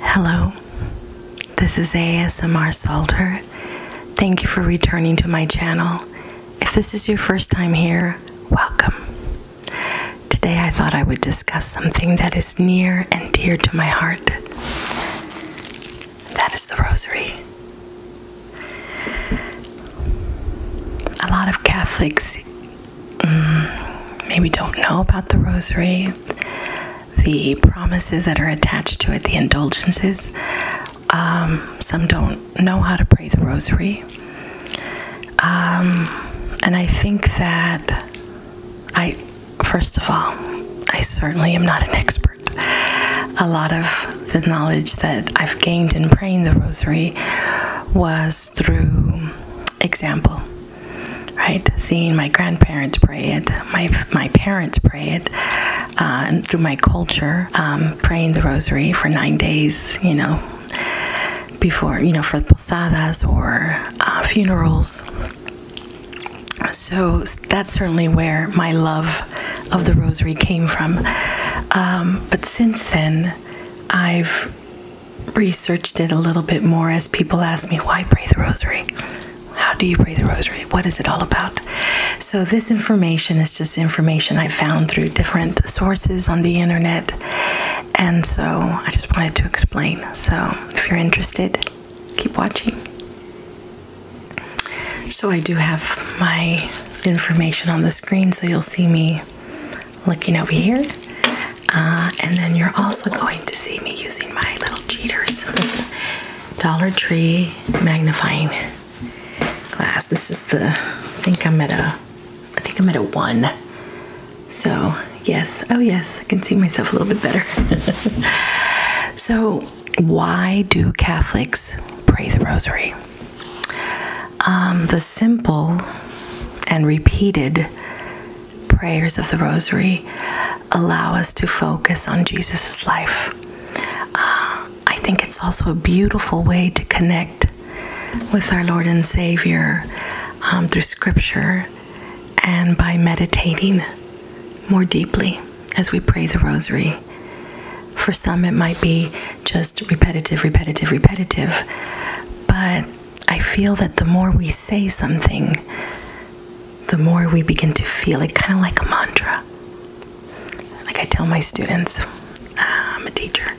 Hello, this is ASMR Salter. Thank you for returning to my channel. If this is your first time here, welcome. Today I thought I would discuss something that is near and dear to my heart. That is the rosary. A lot of Catholics Mm, maybe don't know about the rosary, the promises that are attached to it, the indulgences. Um, some don't know how to pray the rosary. Um, and I think that I, first of all, I certainly am not an expert. A lot of the knowledge that I've gained in praying the rosary was through example right? Seeing my grandparents pray it, my my parents pray it, uh, and through my culture, um, praying the rosary for nine days, you know, before you know for posadas or uh, funerals. So that's certainly where my love of the rosary came from. Um, but since then, I've researched it a little bit more as people ask me, why pray the rosary? How do you pray the rosary? What is it all about? So, this information is just information I found through different sources on the internet. And so, I just wanted to explain. So, if you're interested, keep watching. So, I do have my information on the screen, so you'll see me looking over here. Uh, and then you're also going to see me using my little cheaters Dollar Tree magnifying glass. This is the, I think I'm at a, I think I'm at a one. So yes, oh yes, I can see myself a little bit better. so why do Catholics pray the rosary? Um, the simple and repeated prayers of the rosary allow us to focus on Jesus' life. Uh, I think it's also a beautiful way to connect with our Lord and Savior um, through scripture and by meditating more deeply as we pray the rosary. For some, it might be just repetitive, repetitive, repetitive, but I feel that the more we say something, the more we begin to feel it, kind of like a mantra. Like I tell my students, ah, I'm a teacher,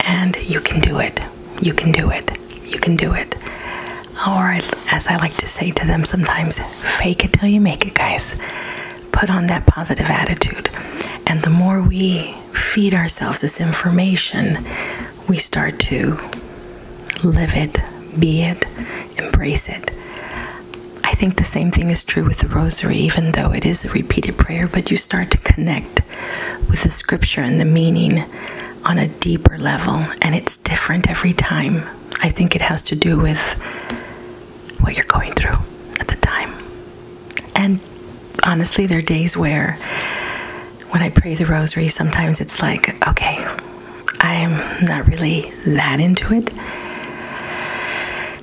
and you can do it, you can do it, you can do it. Or as I like to say to them sometimes, fake it till you make it, guys. Put on that positive attitude. And the more we feed ourselves this information, we start to live it, be it, embrace it. I think the same thing is true with the rosary, even though it is a repeated prayer, but you start to connect with the scripture and the meaning on a deeper level, and it's different every time. I think it has to do with what you're going through at the time. And honestly, there are days where when I pray the rosary, sometimes it's like, okay, I'm not really that into it.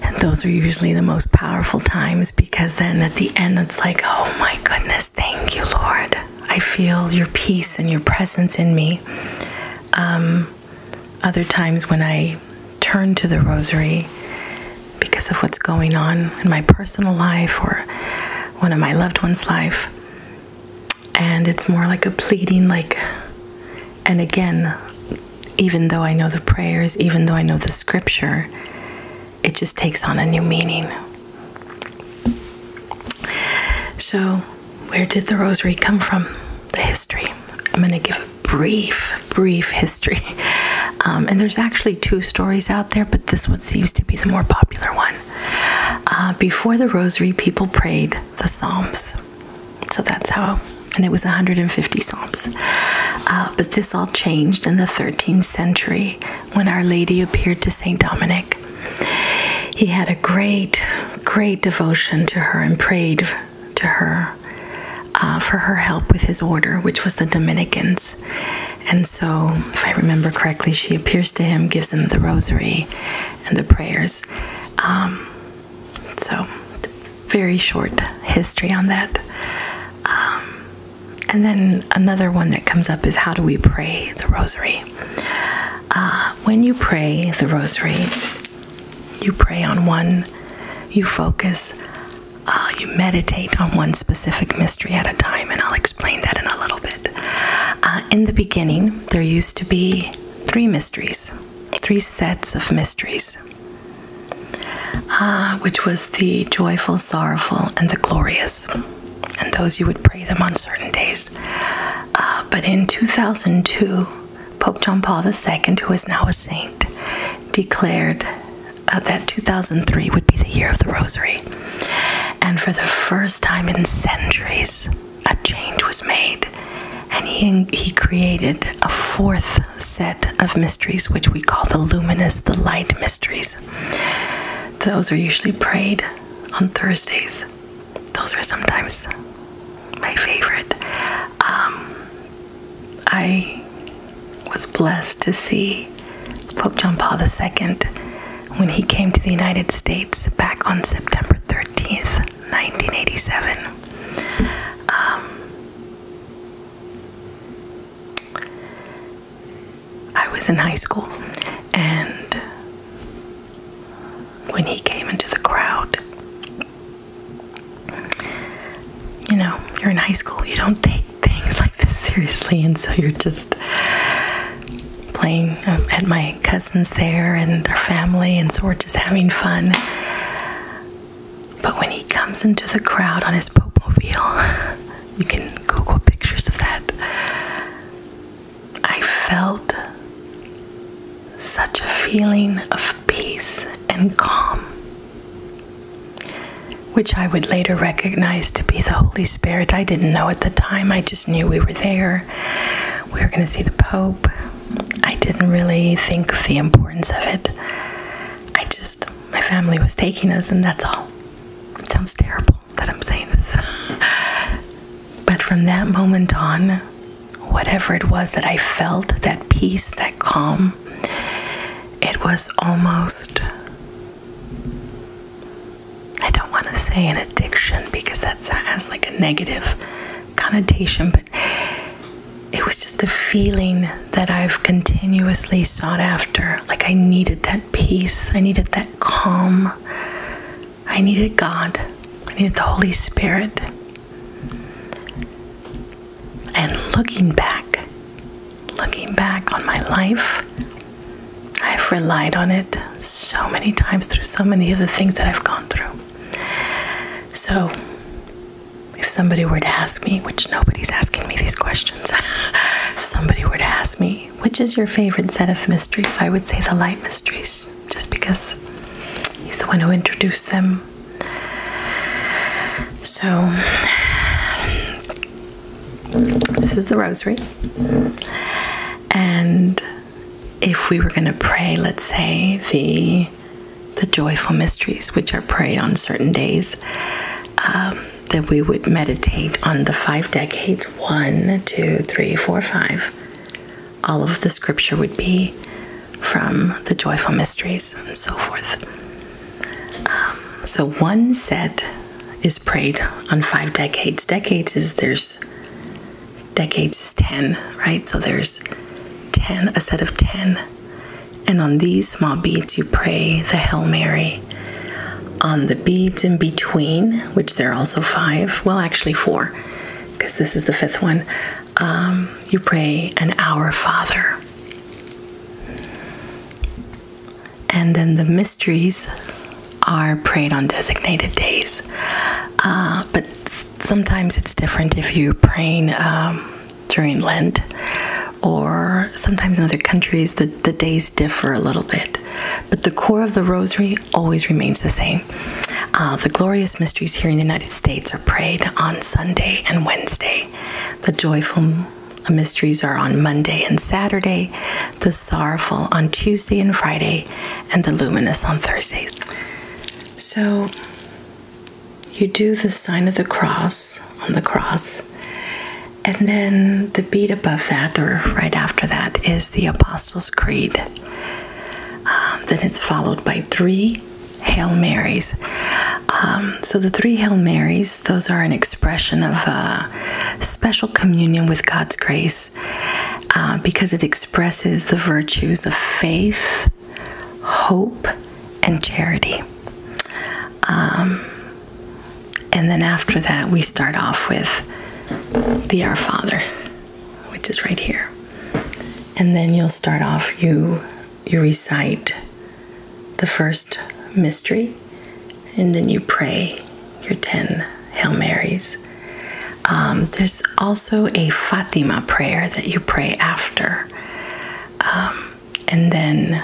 And those are usually the most powerful times because then at the end, it's like, oh my goodness, thank you, Lord. I feel your peace and your presence in me. Um, other times when I turn to the rosary because of what's going on in my personal life or one of my loved ones' life. And it's more like a pleading, like, and again, even though I know the prayers, even though I know the scripture, it just takes on a new meaning. So, where did the rosary come from? The history. I'm going to give a brief, brief history. Um, and there's actually two stories out there, but this one seems to be the more popular one. Uh, before the rosary, people prayed the Psalms. So that's how, and it was 150 Psalms. Uh, but this all changed in the 13th century when Our Lady appeared to St. Dominic. He had a great, great devotion to her and prayed to her uh, for her help with his order, which was the Dominicans. And so, if I remember correctly, she appears to him, gives him the rosary and the prayers. Um, so, very short history on that. Um, and then another one that comes up is how do we pray the rosary? Uh, when you pray the rosary, you pray on one, you focus uh, you meditate on one specific mystery at a time, and I'll explain that in a little bit. Uh, in the beginning, there used to be three mysteries, three sets of mysteries, uh, which was the joyful, sorrowful, and the glorious. And those you would pray them on certain days. but in 2002, Pope John Paul II, who is now a saint, declared uh, that 2003 would be the year of the Rosary. And for the first time in centuries, a change was made. And he, he created a fourth set of mysteries, which we call the luminous, the light mysteries. Those are usually prayed on Thursdays. Those are sometimes my favorite. Um, I was blessed to see Pope John Paul II when he came to the United States back on September 13th, 1987. Um, I was in high school, and when he came into the crowd, you know, you're in high school, you don't think things like this seriously, and so you're just playing um, at my cousins there and our family, and so we're just having fun. But when he comes into the crowd on his Pope mobile, you can Google pictures of that. I felt such a feeling of peace and calm which I would later recognize to be the Holy Spirit. I didn't know at the time, I just knew we were there. We were going to see the Pope. I didn't really think of the importance of it. I just, my family was taking us, and that's all. It sounds terrible that I'm saying this. but from that moment on, whatever it was that I felt, that peace, that calm, it was almost, I don't want to say an addiction because that has like a negative connotation, but it was just a feeling that I've continuously sought after. Like I needed that peace, I needed that calm, I needed God, I needed the Holy Spirit. And looking back, looking back on my life, I've relied on it so many times through so many of the things that I've gone through. So, if somebody were to ask me, which nobody's asking me these questions, if somebody were to ask me, which is your favorite set of mysteries, I would say the light mysteries, just because he's the one who introduced them so, this is the rosary. And if we were going to pray, let's say, the the joyful mysteries, which are prayed on certain days, um, then we would meditate on the five decades one, two, three, four, five. All of the scripture would be from the joyful mysteries and so forth. Um, so one set is prayed on five decades. Decades is there's decades is 10, right? So there's 10, a set of 10. And on these small beads, you pray the Hail Mary. On the beads in between, which there are also five, well, actually four, because this is the fifth one, um, you pray an Our Father. And then the mysteries are prayed on designated days. Uh, but sometimes it's different if you're praying um, during Lent, or sometimes in other countries, the, the days differ a little bit. But the core of the rosary always remains the same. Uh, the glorious mysteries here in the United States are prayed on Sunday and Wednesday. The joyful mysteries are on Monday and Saturday, the sorrowful on Tuesday and Friday, and the luminous on Thursdays. So you do the sign of the cross on the cross. And then the beat above that, or right after that, is the Apostles' Creed. Um, then it's followed by three Hail Marys. Um, so, the three Hail Marys, those are an expression of uh, special communion with God's grace uh, because it expresses the virtues of faith, hope, and charity. Um, and then after that, we start off with the Our Father, which is right here. And then you'll start off, you you recite the first mystery and then you pray your 10 Hail Marys. Um, there's also a Fatima prayer that you pray after. Um, and then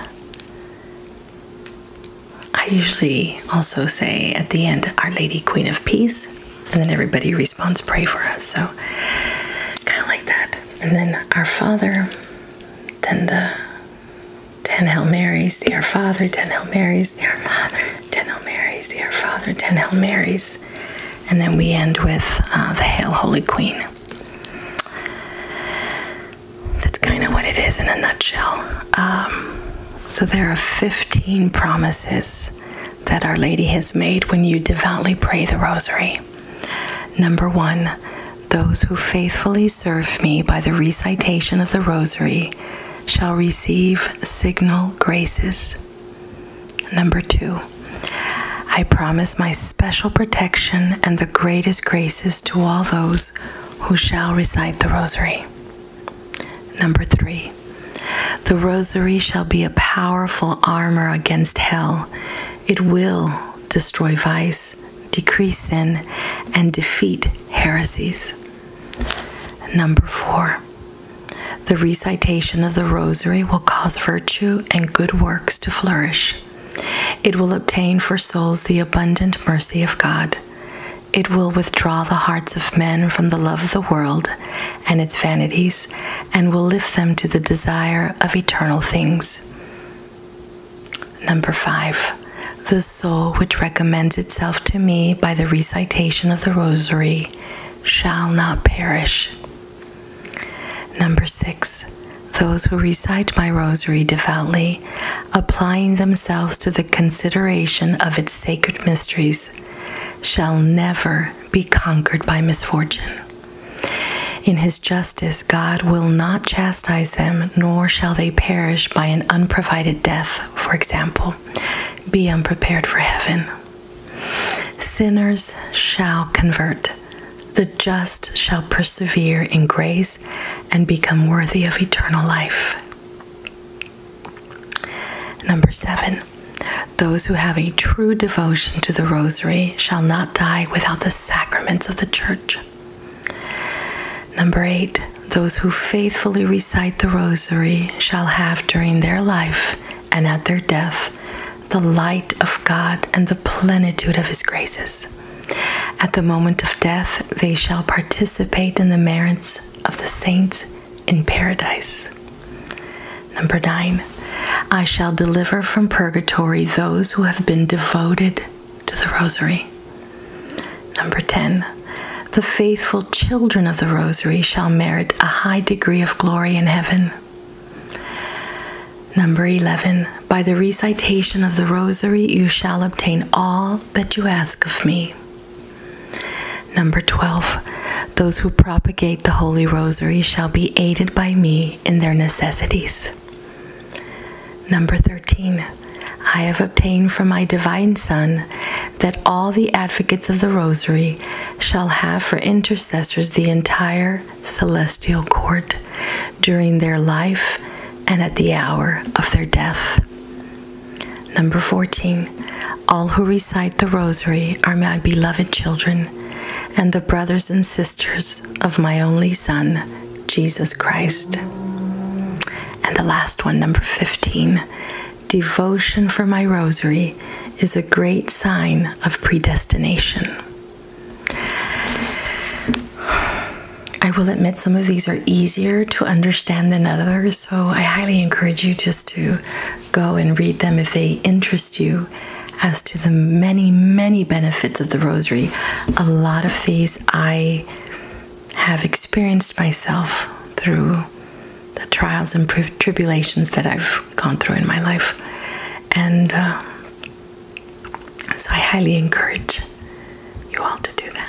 I usually also say at the end, Our Lady, Queen of Peace. And then everybody responds, Pray for us. So, kind of like that and then Our Father, then the Ten Hail Marys, the Our Father, Ten Hail Marys, the Our Father, Ten Hail Marys, the Our Father, Ten Hail Marys, and then we end with uh, the Hail Holy Queen. That's kind of what it is in a nutshell. Um, so there are 15 promises that Our Lady has made when you devoutly pray the Rosary. Number one, those who faithfully serve me by the recitation of the Rosary shall receive signal graces. Number two, I promise my special protection and the greatest graces to all those who shall recite the Rosary. Number three, the Rosary shall be a powerful armor against hell it will destroy vice, decrease sin, and defeat heresies. Number four, the recitation of the rosary will cause virtue and good works to flourish. It will obtain for souls the abundant mercy of God. It will withdraw the hearts of men from the love of the world and its vanities and will lift them to the desire of eternal things. Number five, the soul which recommends itself to me by the recitation of the rosary shall not perish. Number six, those who recite my rosary devoutly, applying themselves to the consideration of its sacred mysteries, shall never be conquered by misfortune. In his justice, God will not chastise them, nor shall they perish by an unprovided death, for example. Be unprepared for heaven. Sinners shall convert. The just shall persevere in grace and become worthy of eternal life. Number seven. Those who have a true devotion to the Rosary shall not die without the sacraments of the Church. Number eight, those who faithfully recite the Rosary shall have during their life and at their death the light of God and the plenitude of His graces. At the moment of death, they shall participate in the merits of the saints in paradise. Number nine, I shall deliver from purgatory those who have been devoted to the rosary. Number 10, the faithful children of the rosary shall merit a high degree of glory in heaven. Number 11, by the recitation of the rosary, you shall obtain all that you ask of me. Number 12, those who propagate the Holy Rosary shall be aided by me in their necessities. Number 13. I have obtained from my divine Son that all the advocates of the Rosary shall have for intercessors the entire celestial court during their life and at the hour of their death. Number 14. All who recite the Rosary are my beloved children, and the brothers and sisters of my only Son, Jesus Christ. And the last one, number 15 devotion for my rosary is a great sign of predestination. I will admit some of these are easier to understand than others, so I highly encourage you just to go and read them if they interest you as to the many, many benefits of the rosary. A lot of these I have experienced myself through the trials and tribulations that I've gone through in my life. And uh, so I highly encourage you all to do that.